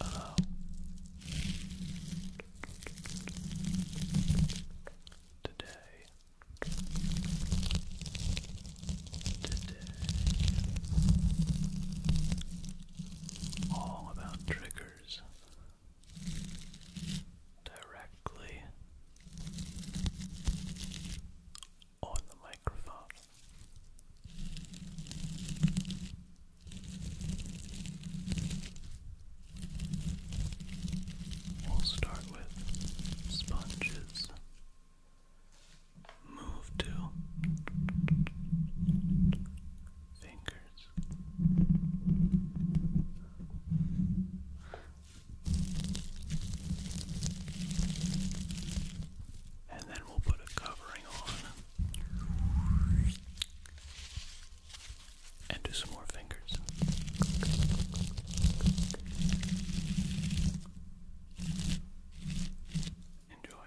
Uh, today, today, all about triggers directly on the microphone. We'll start with sponges. Move to fingers and then we'll put a covering on and do some more fingers. Enjoy.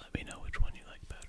Let me know which one you like better.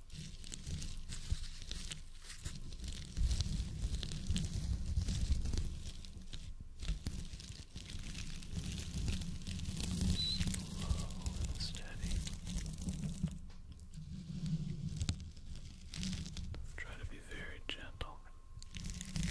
Slow and steady. Try to be very gentle. Good.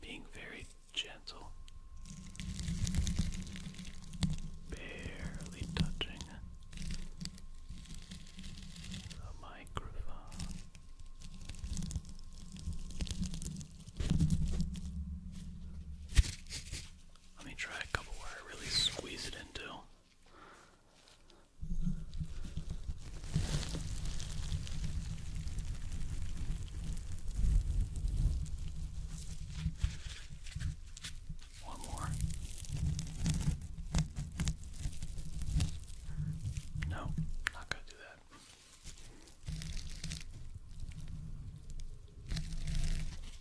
Being very gentle, barely touching the microphone. Let me try a couple where I really squeeze it into. One more. No, not going to do that.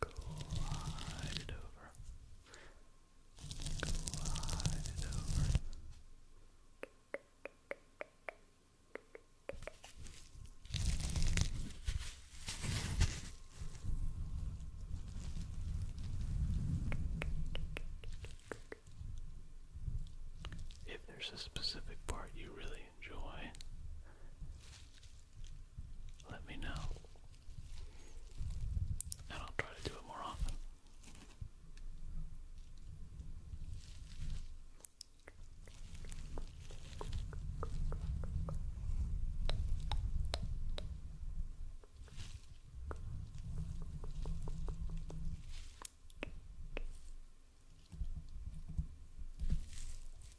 Glide over. Glide over. If there's a specific part you really enjoy, let me know. And I'll try to do it more often.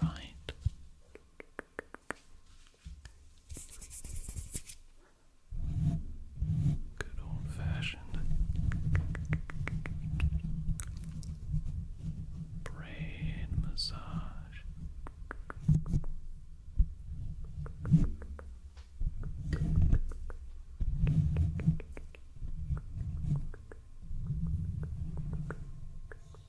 Right. Good old fashioned brain massage.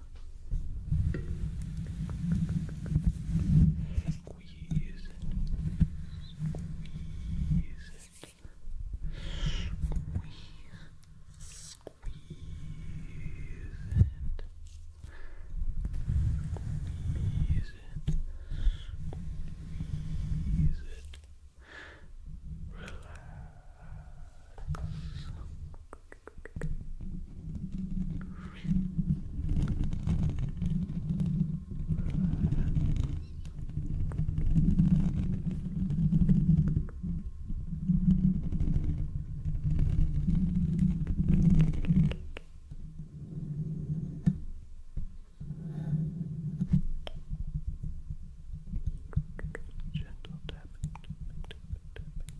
Squeeze it. Squeeze it. Squeeze. Squeeze it. Squeeze it. Squeeze it. Relax. Relax. Gentle tapping, tapping, tapping, tapping,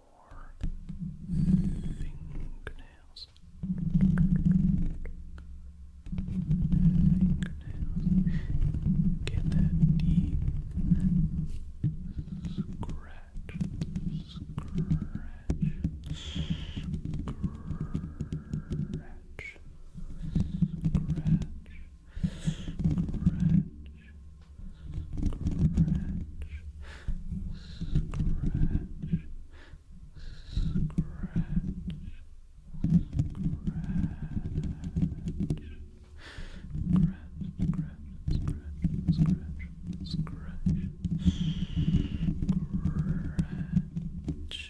your fingernails. Fingernails. Get that deep scratch, scratch, scratch, scratch, scratch. Scratch, scratch, Just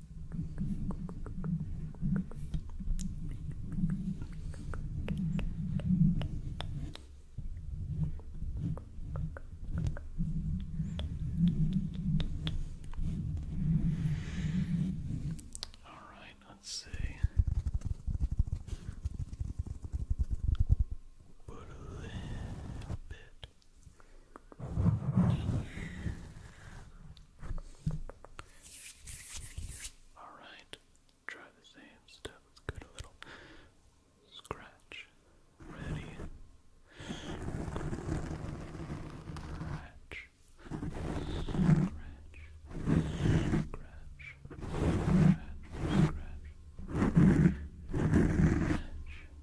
All right, let's see. Put a little bit Alright, try the same stuff. Let's give a little scratch. Ready? Scratch. Scratch. Scratch. Scratch. Scratch. Scratch.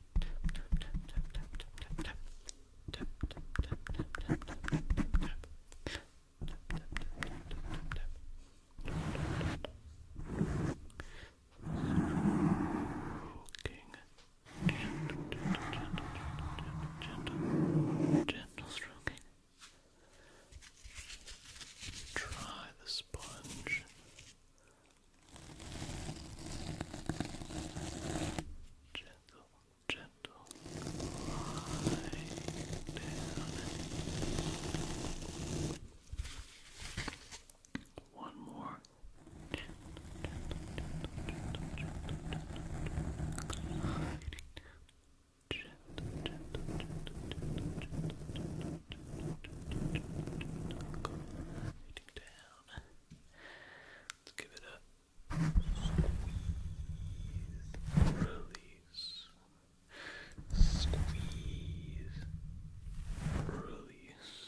Gentle, gentle stroking. Try the sponge Gentle, gentle glide down. One more. Gentle, gentle, gentle, gentle, gentle, gliding down. Gentle, gentle, gentle, gentle, gentle, gentle, gentle, gentle, gentle, gliding down. Let's give it a release, squeeze, release, squeeze, release.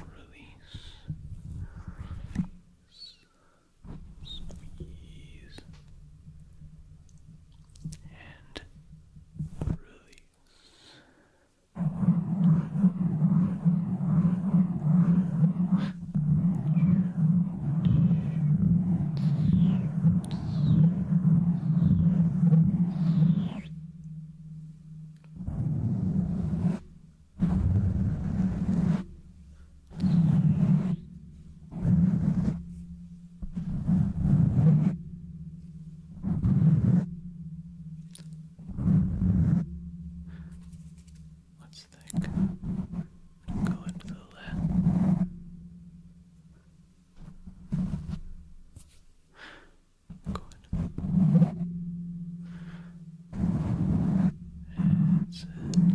Release, Squeeze and release. Good. Let's think. Go into the left. Good. That's it. Good.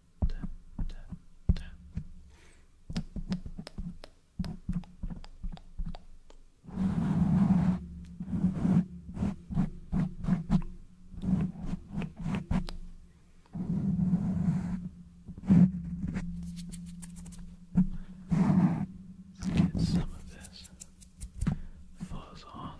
tap, tap, Let's get some of this fuzz off.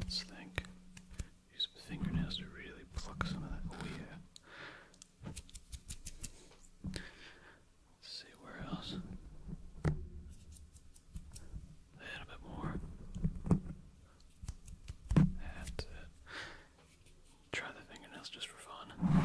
Let's think. Use my fingernails to really pluck some of that. Oh yeah. Let's see where else. A little bit more. That's it. Try the fingernails just for fun.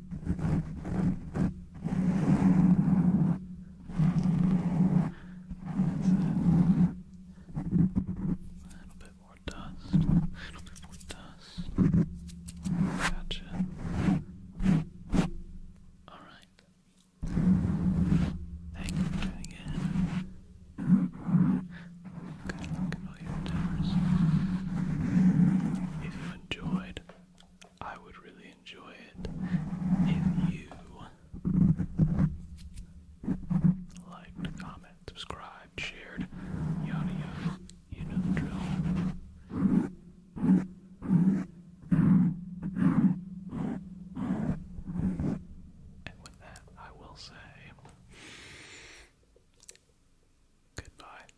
A little bit more dust. A little bit more dust. Gotcha. Alright. Thank you for tuning in. Good luck in all your endeavors. If you enjoyed, I would really enjoy it if you liked, comment, subscribe, shared, yada yada. You know the drill. And with that, I will say goodbye.